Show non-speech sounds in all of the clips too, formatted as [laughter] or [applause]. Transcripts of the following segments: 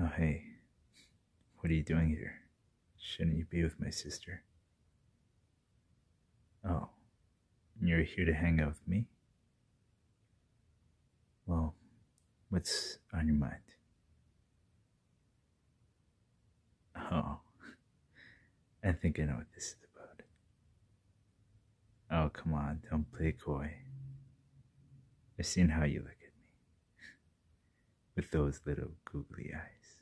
Oh, hey, what are you doing here? Shouldn't you be with my sister? Oh, you're here to hang out with me? Well, what's on your mind? Oh, [laughs] I think I know what this is about. Oh, come on, don't play coy. I've seen how you look at me with those little googly eyes.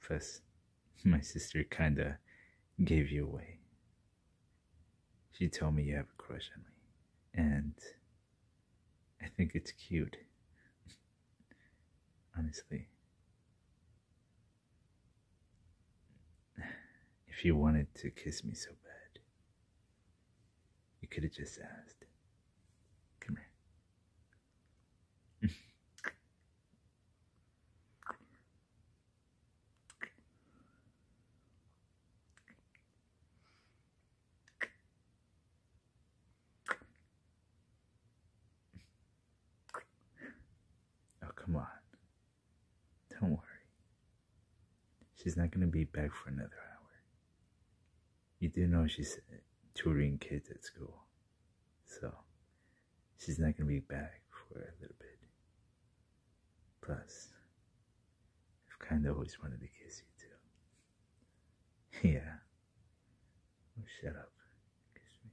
Plus, my sister kinda gave you away. She told me you have a crush on me, and I think it's cute. [laughs] Honestly, [sighs] if you wanted to kiss me so bad, you could have just asked. Come here. Oh, come on. Don't worry. She's not gonna be back for another hour. You do know she's tutoring kids at school, so she's not gonna be back for a little bit. Plus, I've kinda always wanted to kiss you too. [laughs] yeah. Oh, shut up. Kiss me.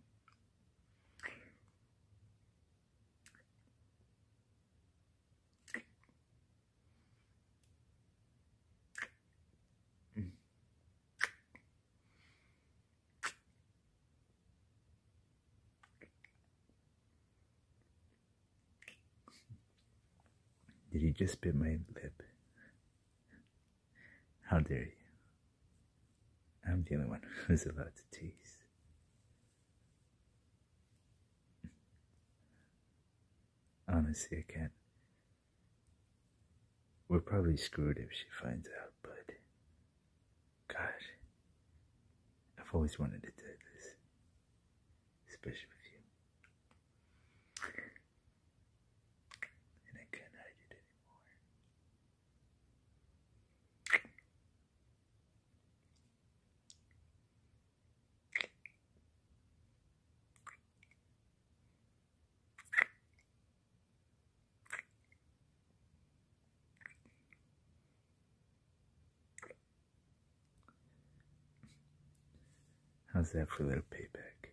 Did he just bit my lip? How dare you? I'm the only one who's allowed to tease. Honestly, I can't. We're probably screwed if she finds out, but. Gosh. I've always wanted to do this. Especially with you. And I can't hide it anymore. How's that for a little payback?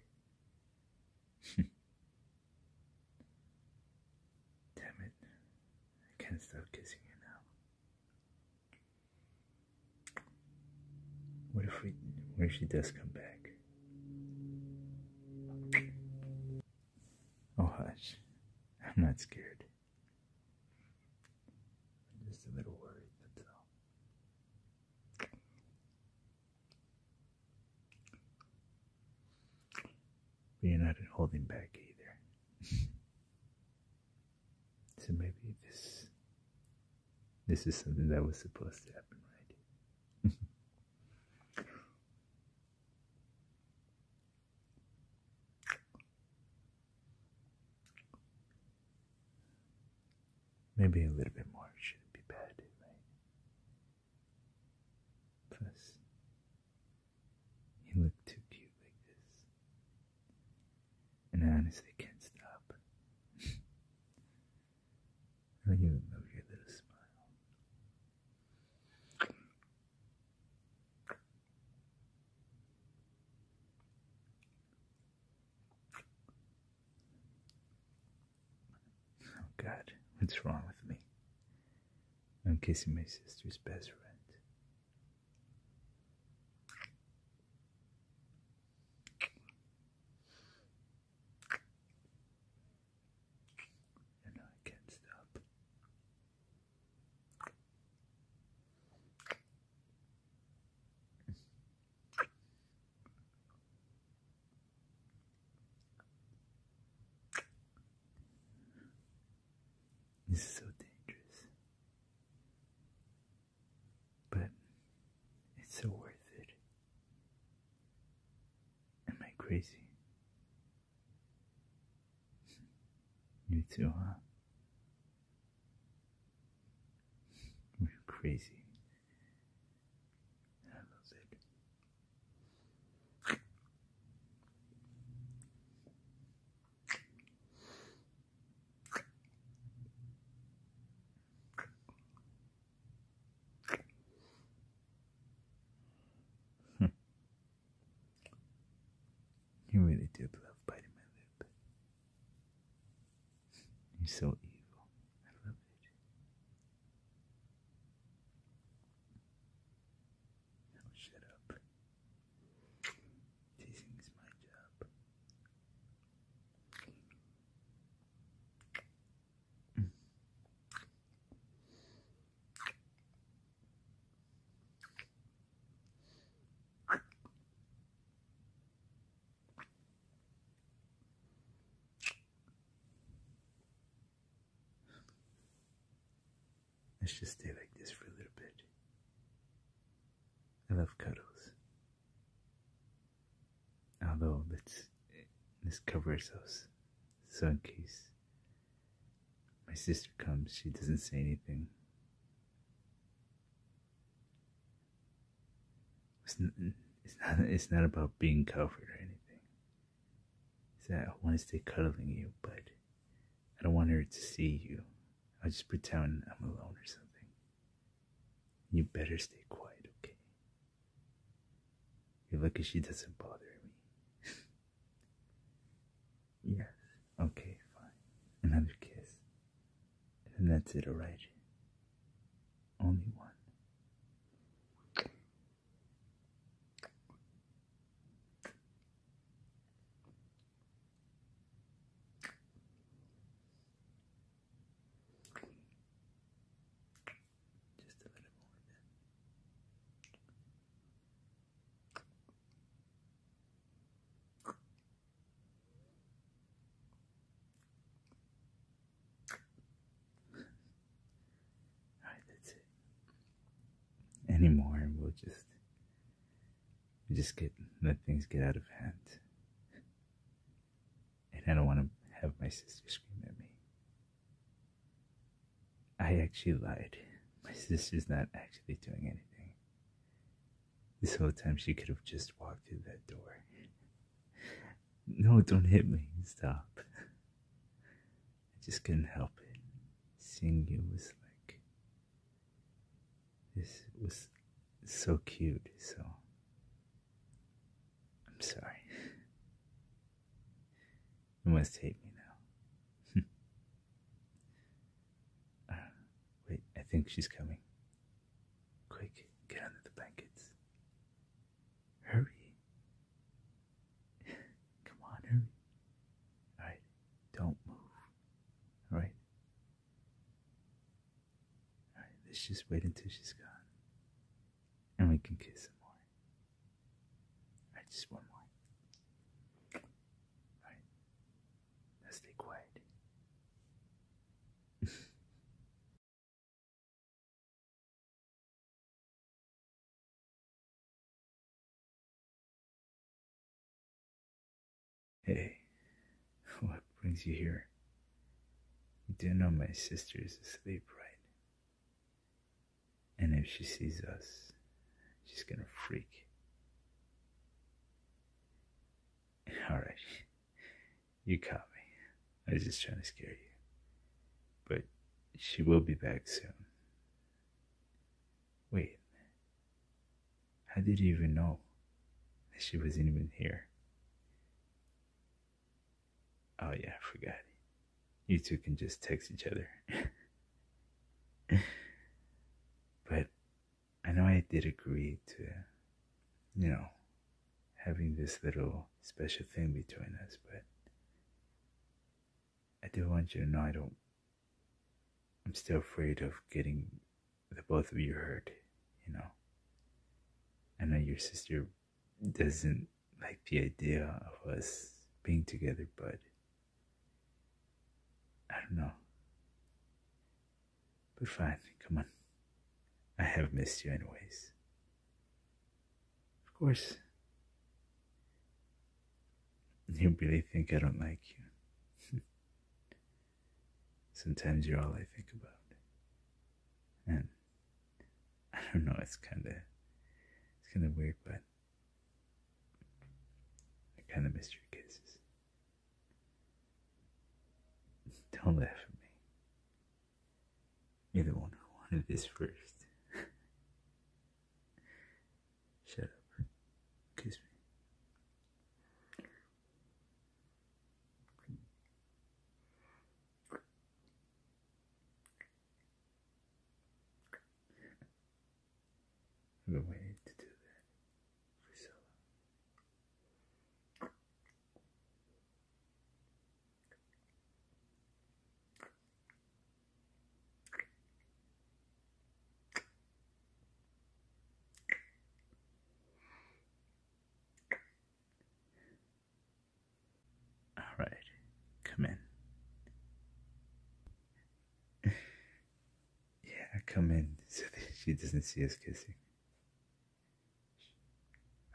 [laughs] Damn it. I can't stop kissing you now. What if we what if she does come back? Oh hush. I'm not scared. I'm just a little worried, that's all. you're not holding back either. [laughs] So maybe this this is something that was supposed to happen, right? [laughs] Maybe a little bit more shouldn't be bad, right? Plus, you look too cute like this. And I honestly can't stop. I really love your little smile. Oh God, what's wrong with me? I'm kissing my sister's best friend. And I can't stop. It's so dangerous. But it's so worth it. Am I crazy? You too, huh? We're crazy. I love it. Hmm. you really did love biting my lip. You're so evil. I love it. Now shut up. Teasing is my job. Mm. Let's just stay like this for a little bit. I love cuddles. Although let's let's cover ourselves so in case my sister comes, she doesn't say anything. It's not, it's not, it's not about being covered or anything. So I want to stay cuddling you, but I don't want her to see you. I'll just pretend I'm alone or something. You better stay quiet, okay? You're lucky she doesn't bother me. [laughs] yes. Okay, fine. Another kiss. And that's it, alright? Only one. Just a little more [laughs] Alright, that's it. Anymore, and we'll just you just get let things get out of hand. And I don't want to have my sister scream at me. I actually lied. My sister's not actually doing anything. This whole time she could have just walked through that door. No, don't hit me. Stop. I just couldn't help it. Seeing you was like, this was so cute, so I'm sorry. [laughs] You must hate me now. [laughs] Uh, wait, I think she's coming. Quick, get under the blankets. Hurry. [laughs] Come on, Alright, don't move. Alright? Alright, let's just wait until she's gone. And we can kiss some more. Alright, just one more. Alright. Now stay quiet. [laughs] Hey, [laughs] what brings you here? You do not know my sister is asleep, right? And if she sees us, she's gonna freak. [laughs] Alright, [laughs] you caught me. I was just trying to scare you. But she will be back soon. Wait, how did you even know that she wasn't even here? Oh, yeah, I forgot. You two can just text each other. [laughs] but I know I did agree to, you know, having this little special thing between us, but I do want you to know I don't I'm still afraid of getting the both of you hurt, you know. I know your sister doesn't like the idea of us being together, but I don't know. But fine, come on. I have missed you, anyways. Of course, you really think I don't like you. [laughs] Sometimes you're all I think about. And I don't know, it's kind of it's kind of weird, but I kind of miss your kisses. [laughs] Don't laugh at me. You're the one who wanted this first. [laughs] Shut up. Kiss me. I've been waiting to do that all right, come in. [laughs] yeah, come in [laughs] so that she doesn't see us kissing.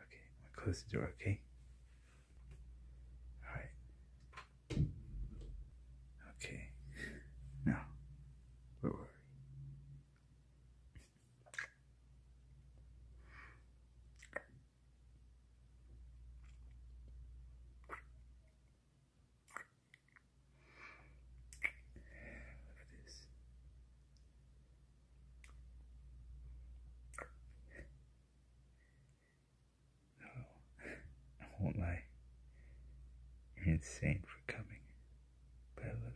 Okay, close the door, okay? Alright. Okay. Now, where were we? Look at this. No, oh, I won't lie. You're insane for coming, but I love you.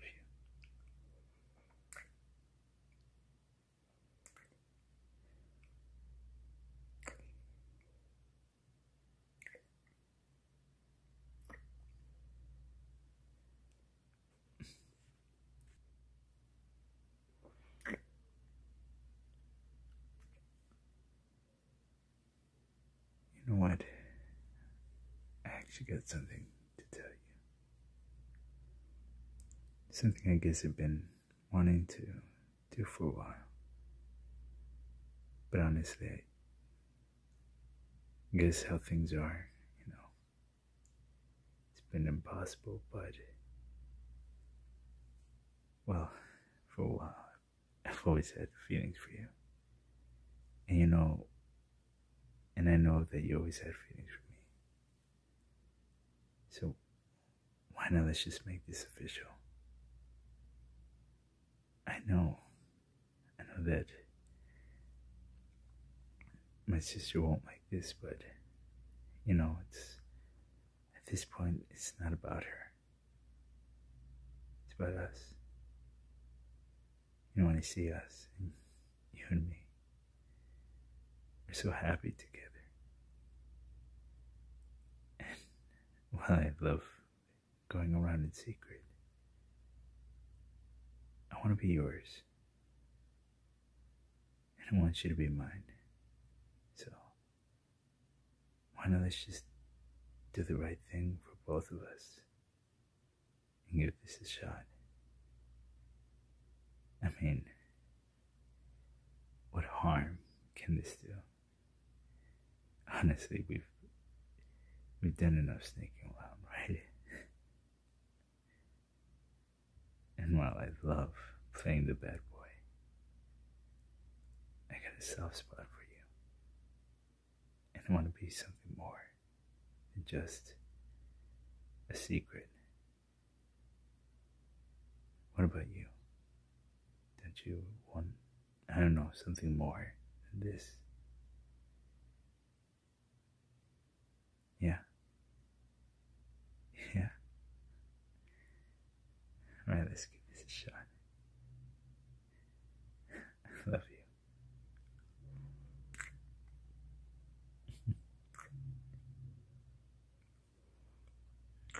You know what? I actually got something to tell you. Something I guess I've been wanting to do for a while. But honestly, guess how things are, you know. It's been impossible, but well, for a while, I've always had feelings for you. And you know, and I know that you always had feelings for me. So, why not let's just make this official? I know, I know that my sister won't like this, but you know, it's at this point, it's not about her, it's about us. You want to see us, you and me. We're so happy together. And while I love going around in secret, I want to be yours. And I want you to be mine. So. Why not let's just do the right thing for both of us and give this a shot? I mean, what harm can this do? Honestly, we've we've done enough sneaking around, right? [laughs] And while I love playing the bad boy, I got a soft spot for you. And I want to be something more than just a secret. What about you? Don't you want, I don't know, something more than this? Yeah. Yeah. Alright, let's give this a shot. [laughs] love you.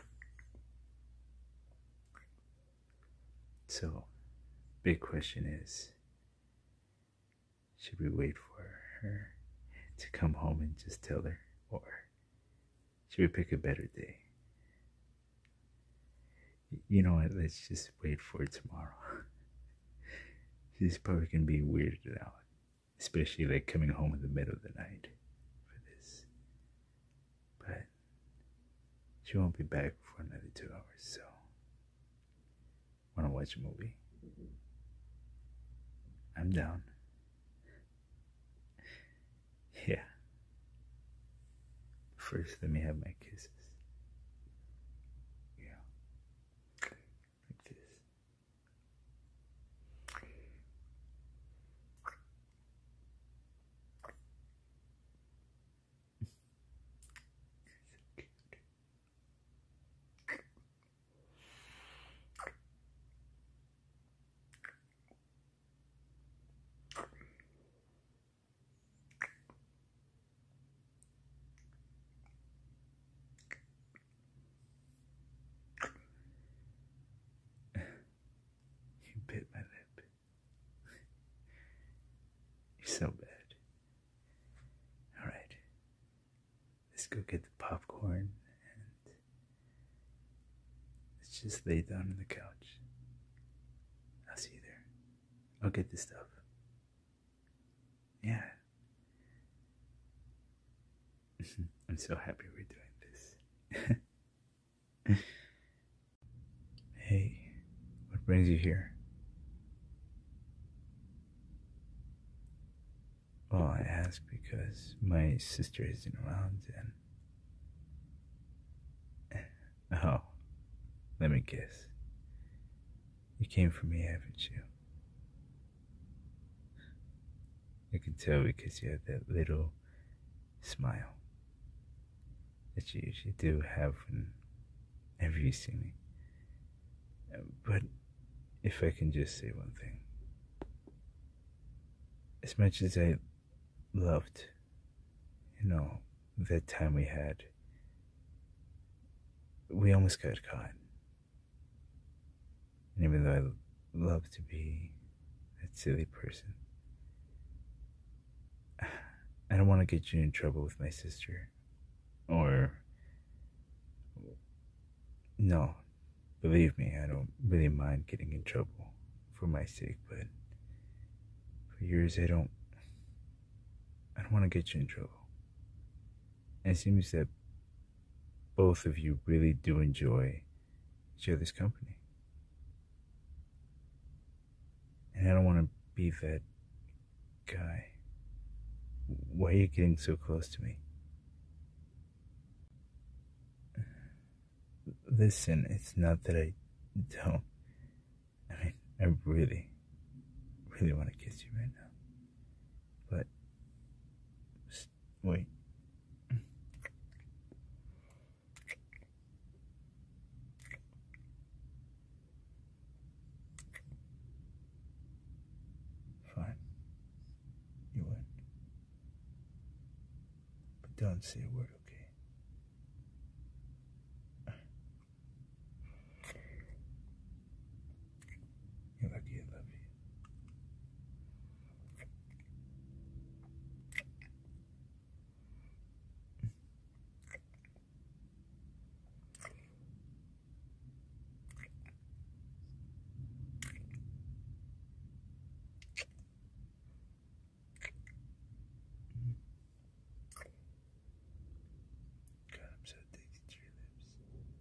[laughs] so, big question is should we wait for her to come home and just tell her, or should we pick a better day? You know what? Let's just wait for tomorrow. [laughs] this is probably gonna be weird out, especially like coming home in the middle of the night for this. But she won't be back for another two hours, so wanna watch a movie? I'm down. Yeah. First, let me have my kisses. Yeah. Like this. [laughs] you bit my lip. You're so bad. All right let's go get the popcorn and let's just lay down on the couch. I'll see you there. I'll get the stuff. Yeah. [laughs] I'm so happy we're doing this. [laughs] hey, what brings you here? Well, I ask because my sister isn't around and. [laughs] Oh, let me guess. You came for me, haven't you? I can tell because you have that little smile that you usually do have whenever you see me. But if I can just say one thing, as much as I loved, you know, that time we had, we almost got caught. And even though I love to be that silly person, [sighs] I don't want to get you in trouble with my sister or no, believe me, I don't really mind getting in trouble for my sake, but for yours, I don't. I don't want to get you in trouble. it seems that both of you really do enjoy each other's company. And I don't want to be that guy. Why are you getting so close to me? Listen, it's not that I don't. I mean, I really, really want to kiss you right now. But, wait. Fine. You win. But don't say a word, okay? You're lucky I love you. God, I'm so addicted to your lips.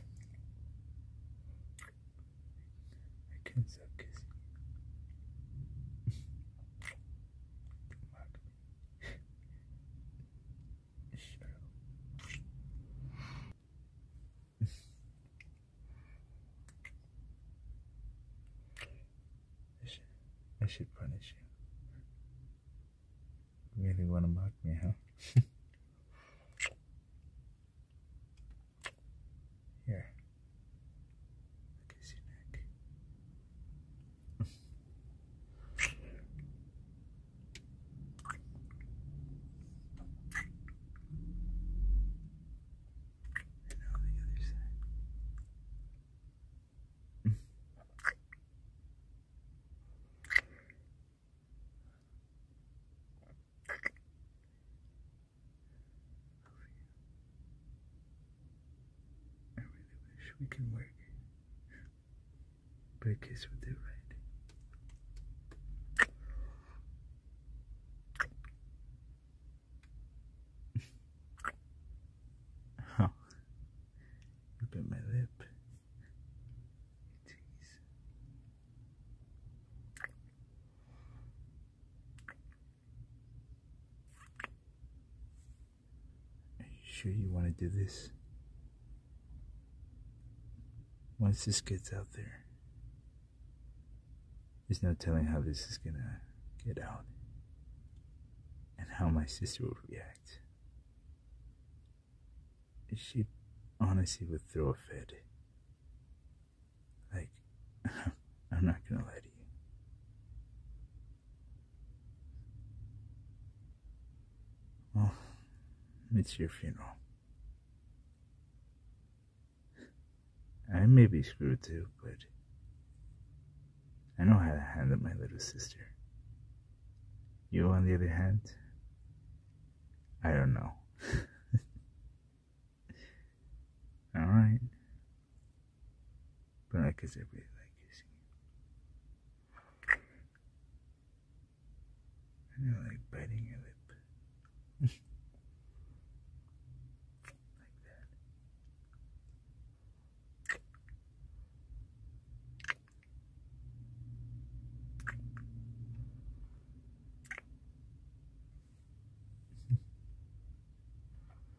[laughs] I can't stop kissing you. I should, punish you. you really want to mock me, huh? [laughs] Here. Look at your neck. And now the other side. I really wish we can work but kiss with it right. oh, you bit my lip. Jeez. Are you sure you want to do this? Once this gets out there, there's no telling how this is gonna get out and how my sister will react. She honestly would throw a fit. Like, [laughs] I'm not gonna lie to you. Well, it's your funeral. I may be screwed too, but I know how to handle my little sister. You, on the other hand, I don't know. [laughs] Alright. But like I really like kissing I like biting your lip. like [laughs] that.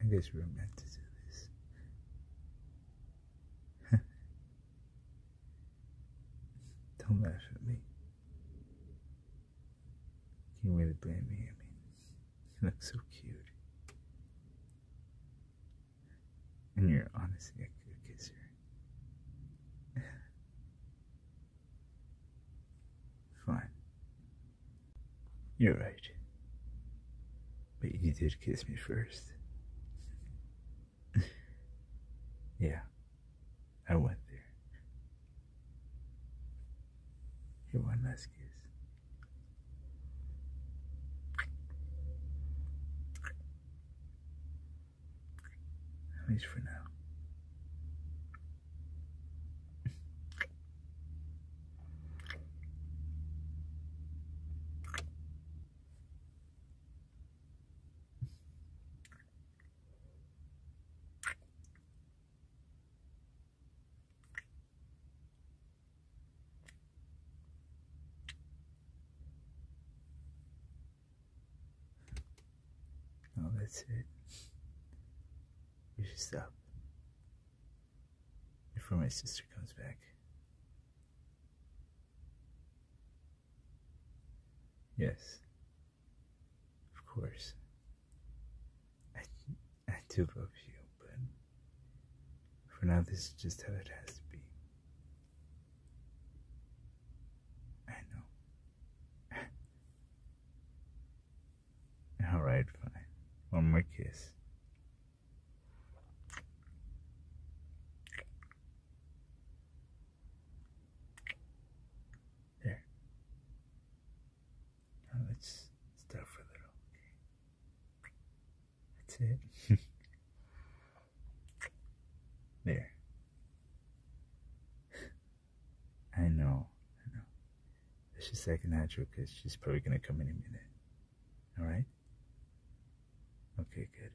I guess we are meant to do this. [laughs] Don't laugh at me. You way to blame me, I mean, you look so cute. And your honesty, I could kiss your Fine. You're right. But you did kiss me first. [laughs] yeah, I went there. Here, one last kiss. At least for now. No, oh, that's it. You should stop. Before my sister comes back. Yes. Of course. I, I do love you, but for now this is just how it has to be. I know. [laughs] All right, fine. One more kiss. There. Now let's stop for a little. That's it. [laughs] there. I know, I know. She's second natural because she's probably gonna come in a minute. Alright? Okay, good.